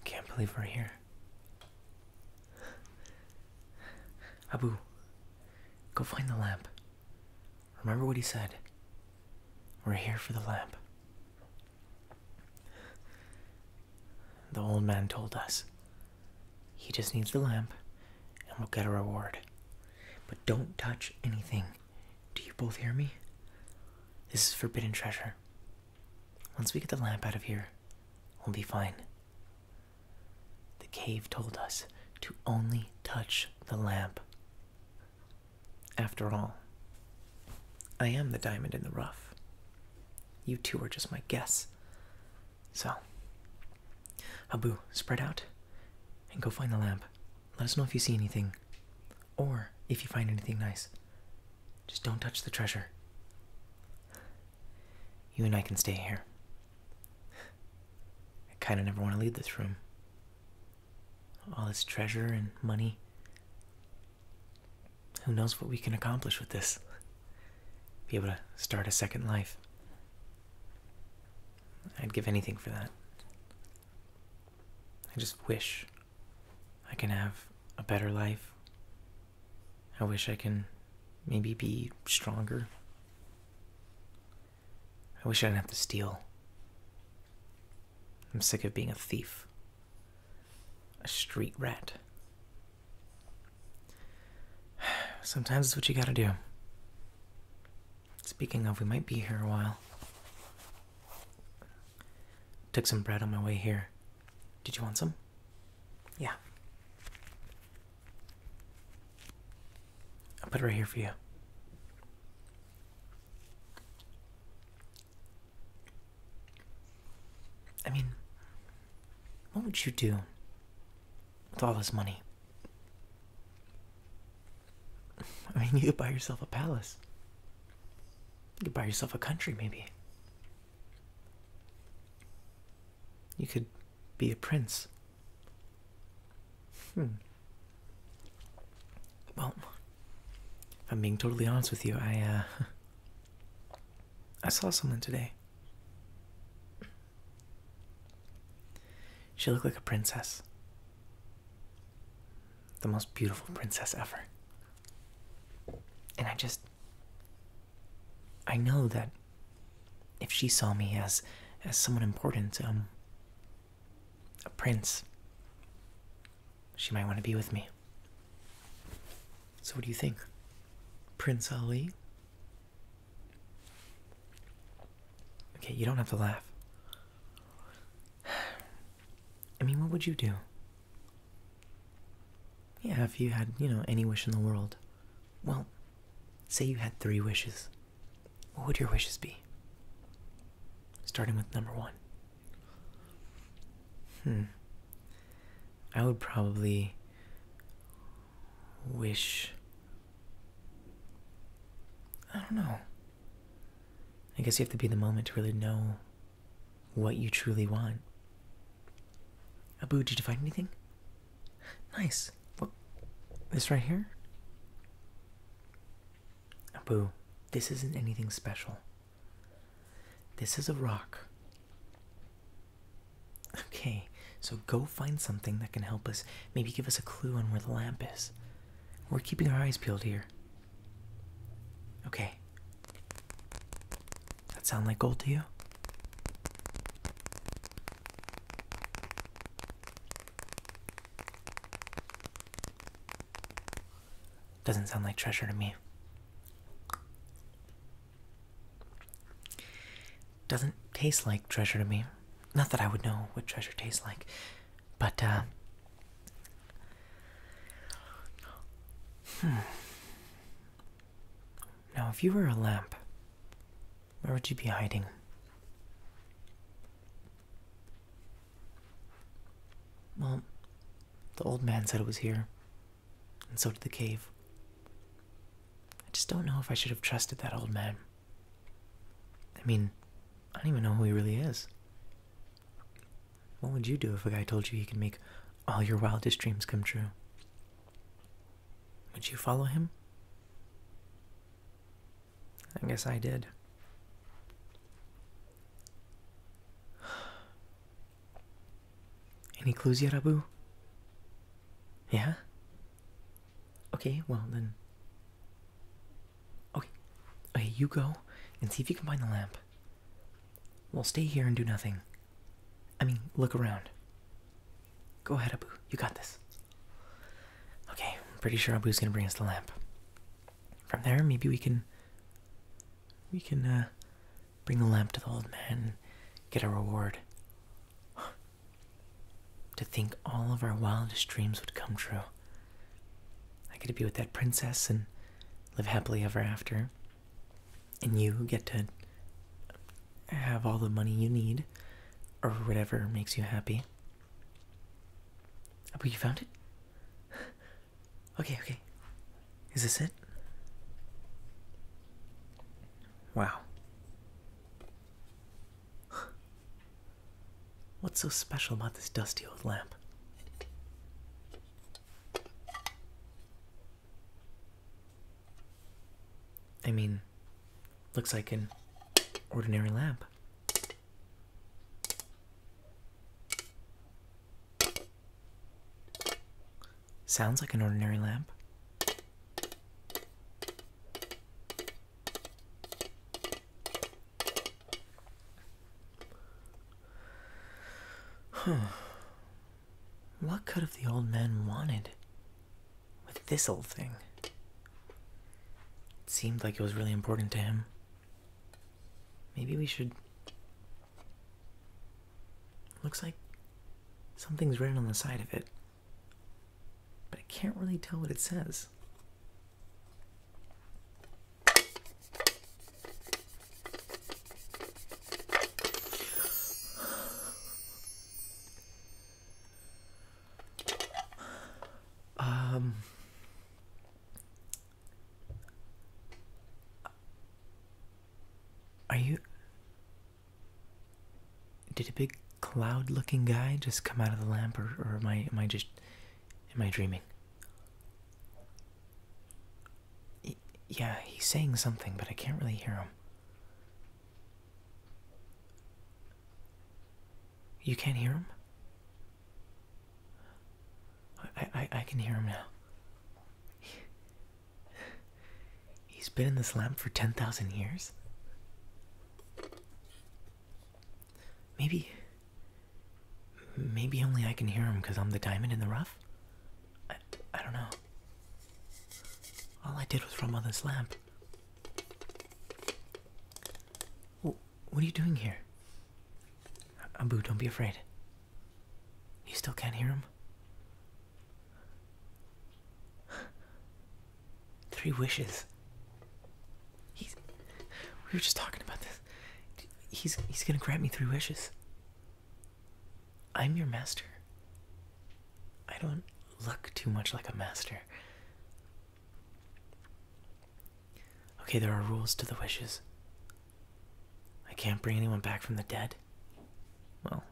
I can't believe we're here. Abu, go find the lamp. Remember what he said. We're here for the lamp. The old man told us. He just needs the lamp and we'll get a reward. But don't touch anything. Do you both hear me? This is forbidden treasure. Once we get the lamp out of here, we'll be fine. The cave told us to only touch the lamp. After all, I am the diamond in the rough. You two are just my guests. So, Abu, spread out and go find the lamp. Let us know if you see anything or if you find anything nice. Just don't touch the treasure. You and I can stay here. I kind of never want to leave this room. All this treasure and money. Who knows what we can accomplish with this? Be able to start a second life. I'd give anything for that. I just wish I can have a better life. I wish I can maybe be stronger. I wish I didn't have to steal. I'm sick of being a thief. A street rat. Sometimes it's what you gotta do. Speaking of, we might be here a while. Took some bread on my way here. Did you want some? Yeah. I'll put it right here for you. I mean, what would you do with all this money? I mean, you could buy yourself a palace. You could buy yourself a country, maybe. You could be a prince. Hmm. Well, if I'm being totally honest with you, I, uh, I saw someone today. She looked like a princess. The most beautiful princess ever. And I just. I know that if she saw me as as someone important, um, a prince, she might want to be with me. So, what do you think? Prince Ali? Okay, you don't have to laugh. I mean, what would you do? Yeah, if you had, you know, any wish in the world. Well, say you had three wishes. What would your wishes be? Starting with number one. Hmm. I would probably wish. I don't know. I guess you have to be the moment to really know what you truly want. Abu, did you find anything? Nice. What? This right here? Abu, this isn't anything special. This is a rock. Okay, so go find something that can help us. Maybe give us a clue on where the lamp is. We're keeping our eyes peeled here. Okay. That sound like gold to you? Doesn't sound like treasure to me. Doesn't taste like treasure to me. Not that I would know what treasure tastes like, but uh hmm. Now, if you were a lamp, where would you be hiding? Well, the old man said it was here, and so did the cave. I just don't know if I should have trusted that old man. I mean, I don't even know who he really is. What would you do if a guy told you he could make all your wildest dreams come true? Would you follow him? I guess I did. Any clues yet, Abu? Yeah? Okay, well then. Okay. Okay, you go and see if you can find the lamp. We'll stay here and do nothing. I mean, look around. Go ahead, Abu. You got this. Okay, pretty sure Abu's gonna bring us the lamp from there, maybe we can we can uh, bring the lamp to the old man and get a reward. to think all of our wildest dreams would come true. I get to be with that princess and live happily ever after. And you get to have all the money you need or whatever makes you happy. Have oh, but you found it? Okay, okay. Is this it? Wow. What's so special about this dusty old lamp? I mean, looks like an ordinary lamp. Sounds like an ordinary lamp. Huh. What could have the old man wanted with this old thing? It seemed like it was really important to him. Maybe we should. Looks like something's written on the side of it, but I can't really tell what it says. Um, are you. Did a big cloud looking guy just come out of the lamp, or, or am, I, am I just. Am I dreaming? yeah, he's saying something, but I can't really hear him. You can't hear him? I I I can hear him now. He's been in this lamp for 10,000 years. Maybe maybe only I can hear him cuz I'm the diamond in the rough. I I don't know. All I did was rub on this lamp. What are you doing here? Abu, don't be afraid. You still can't hear him? Three wishes. He's. We were just talking about this. He's he's gonna grant me three wishes. I'm your master. I don't look too much like a master. Okay, there are rules to the wishes. I can't bring anyone back from the dead. Well,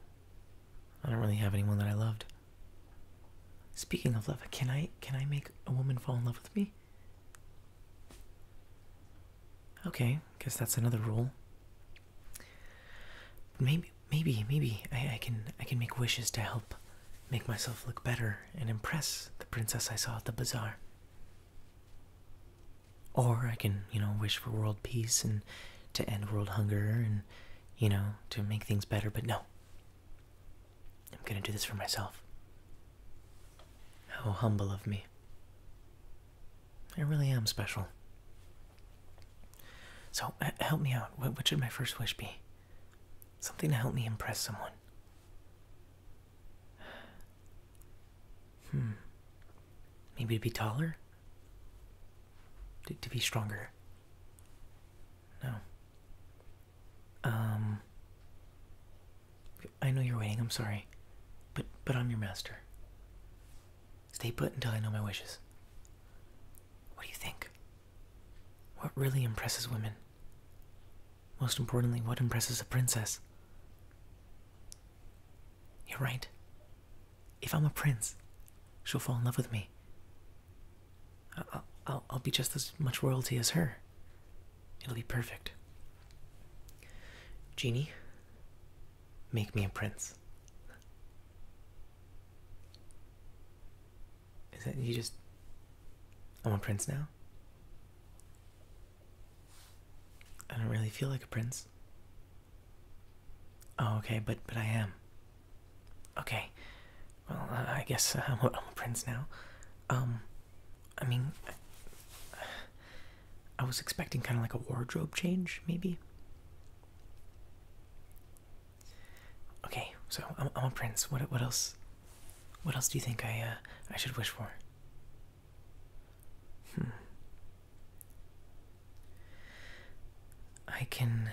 I don't really have anyone that I loved. Speaking of love, can I can I make a woman fall in love with me? Okay, guess that's another rule. Maybe maybe maybe I, I can I can make wishes to help make myself look better and impress the princess I saw at the bazaar. Or I can, you know, wish for world peace and to end world hunger and, you know, to make things better, but no. I'm gonna do this for myself. How humble of me. I really am special. So, uh, help me out. what should my first wish be? Something to help me impress someone. Hmm. Maybe to be taller? To, to be stronger? No. Um. I know you're waiting, I'm sorry. But but I'm your master. Stay put until I know my wishes. What do you think? What really impresses women? Most importantly, what impresses a princess? You're right. If I'm a prince, she'll fall in love with me. I'll, I'll, I'll be just as much royalty as her. It'll be perfect. Genie, make me a prince. Is that you just. I am a prince now? I don't really feel like a prince. Oh, okay, but but I am. Okay, well, I guess I'm, a, I'm a prince now. Um, I mean, I was expecting kind of like a wardrobe change, maybe. Okay, so I'm, a prince. What what else? What else do you think I uh, I should wish for? Hmm. I can.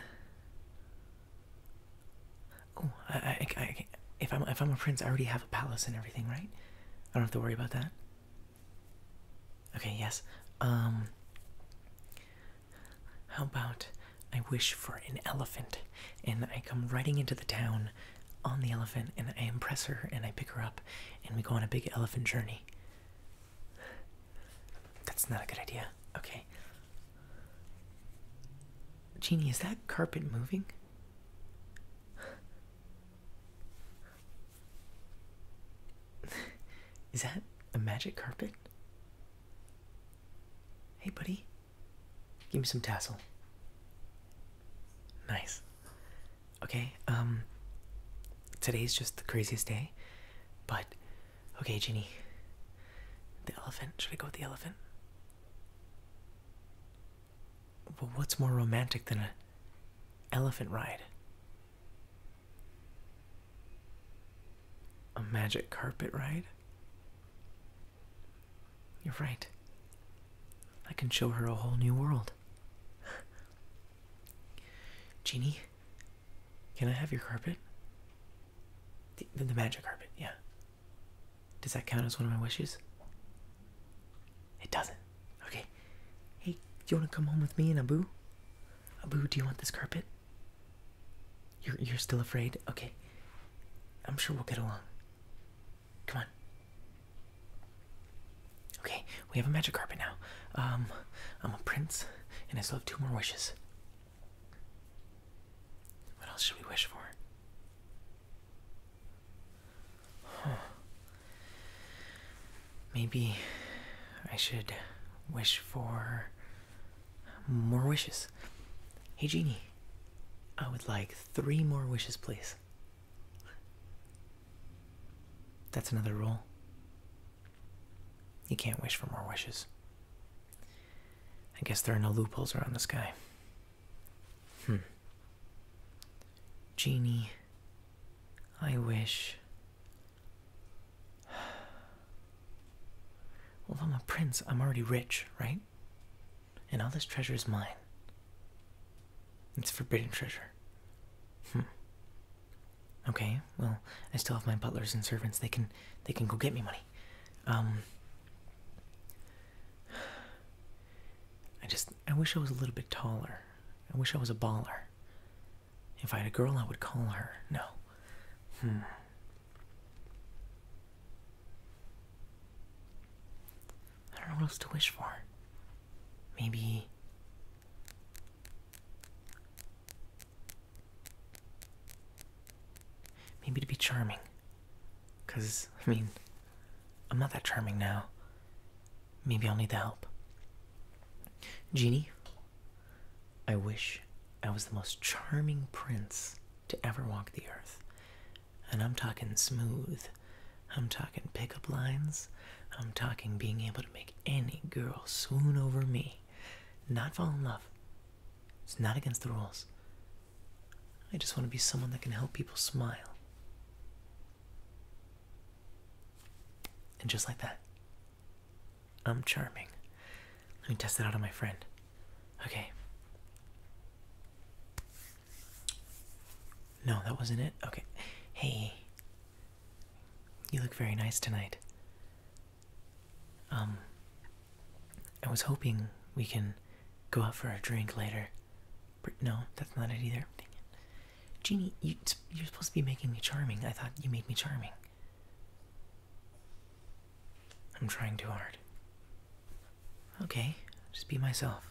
Oh, I, I, I, if I'm if I'm a prince, I already have a palace and everything, right? I don't have to worry about that. Okay. Yes. Um. How about I wish for an elephant and I come riding into the town on the elephant and I impress her and I pick her up and we go on a big elephant journey? That's not a good idea. Okay. Jeannie, is that carpet moving? Is that a magic carpet? Hey, buddy, give me some tassel. Nice. Okay, um, today's just the craziest day, but okay, Ginny. The elephant, should we go with the elephant? Well, what's more romantic than an elephant ride? A magic carpet ride? You're right. I can show her a whole new world. Genie, can I have your carpet? The, the, magic carpet, yeah. Does that count as one of my wishes? It doesn't. Okay. Hey, do you want to come home with me and Abu? Abu, do you want this carpet? You're you're still afraid? Okay. I'm sure we'll get along. Come on. Okay, we have a magic carpet now. Um, I'm a prince, and I still have two more wishes. What else should we wish for? Maybe I should wish for more wishes. Hey, Genie, I would like three more wishes, please. That's another rule. You can't wish for more wishes. I guess there are no loopholes around the sky. Hmm. Genie, I wish well, if I'm a prince, I'm already rich, right? And all this treasure is mine. It's forbidden treasure. Hmm. Okay, well, I still have my butlers and servants. They can they can go get me money. Um I just I wish I was a little bit taller. I wish I was a baller. If I had a girl, I would call her. No. Hmm. I don't know what else to wish for. Maybe. Maybe to be charming. Because, I mean, I'm not that charming now. Maybe I'll need the help. Genie, I wish I was the most charming prince to ever walk the earth. And I'm talking smooth. I'm talking pickup lines. I'm talking being able to make any girl swoon over me. Not fall in love. It's not against the rules. I just want to be someone that can help people smile. And just like that, I'm charming. Let me test that out on my friend. Okay. No, that wasn't it. Okay. Hey. You look very nice tonight. Um, I was hoping we can go out for a drink later. No, that's not it either. Jeannie, you, are supposed to be making me charming. I thought you made me charming. I'm trying too hard. Okay, just be myself.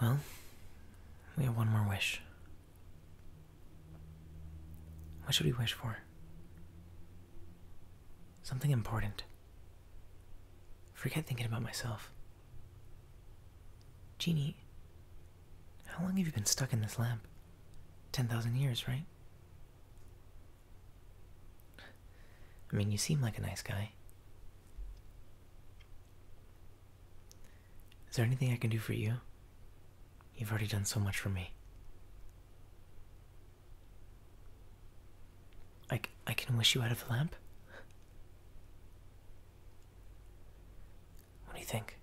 Well, we have one more wish. What should we wish for? Something important. Forget thinking about myself. Jeannie, how long have you been stuck in this lamp? 10,000 years, right? I mean, you seem like a nice guy. Is there anything I can do for you? You've already done so much for me. I, I can wish you out of the lamp? What do you think?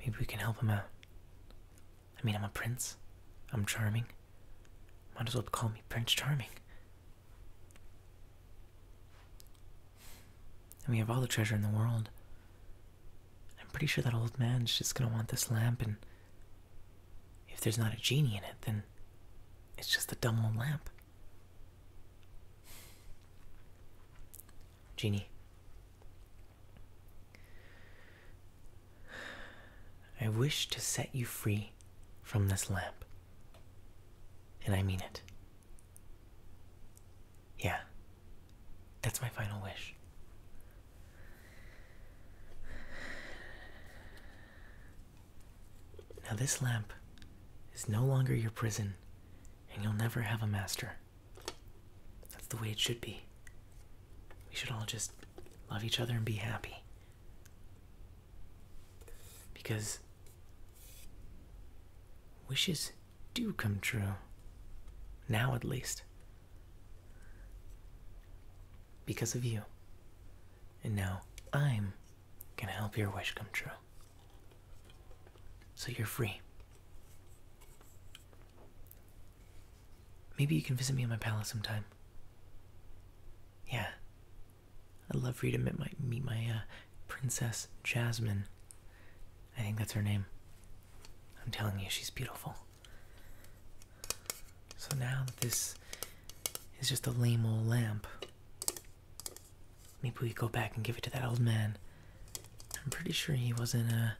Maybe we can help him out. I mean, I'm a prince. I'm charming. Might as well call me Prince Charming. And we have all the treasure in the world. I'm pretty sure that old man's just gonna want this lamp, and if there's not a genie in it, then it's just a dumb old lamp. Jeannie. I wish to set you free from this lamp. And I mean it. Yeah, that's my final wish. Now, this lamp is no longer your prison, and you'll never have a master. That's the way it should be. We should all just love each other and be happy. Because wishes do come true. Now, at least. Because of you. And now I'm gonna help your wish come true. So you're free. Maybe you can visit me in my palace sometime. Yeah. I'd love for you to meet my, meet my uh, Princess Jasmine. I think that's her name. I'm telling you, she's beautiful. So now this is just a lame old lamp, Maybe we go back and give it to that old man. I'm pretty sure he wasn't, a. Uh,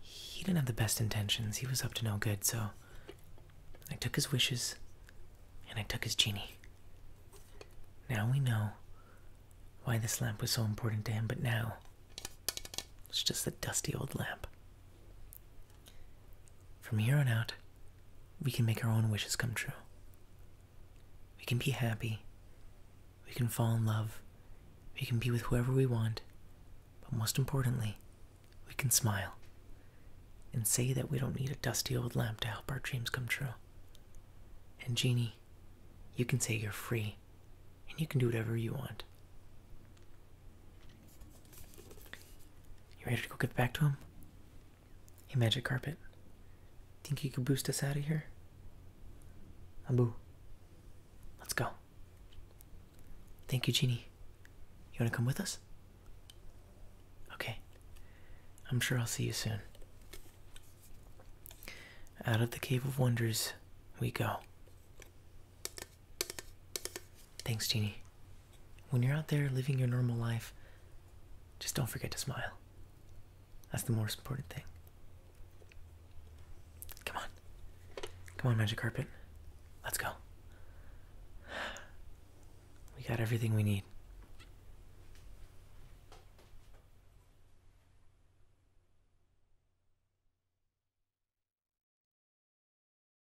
he didn't have the best intentions. He was up to no good, so. I took his wishes, and I took his genie. Now we know why this lamp was so important to him, but now. It's just a dusty old lamp. From here on out, we can make our own wishes come true. We can be happy. We can fall in love. We can be with whoever we want. But most importantly, we can smile and say that we don't need a dusty old lamp to help our dreams come true. And, Jeannie, you can say you're free and you can do whatever you want. You ready to go get back to him? Hey, Magic Carpet. Think you could boost us out of here? Abu. Let's go. Thank you, Genie. You want to come with us? Okay. I'm sure I'll see you soon. Out of the Cave of Wonders we go. Thanks, Jeannie. When you're out there living your normal life, just don't forget to smile. That's the most important thing. Come on. Come on, Magic Carpet. Let's go. We got everything we need.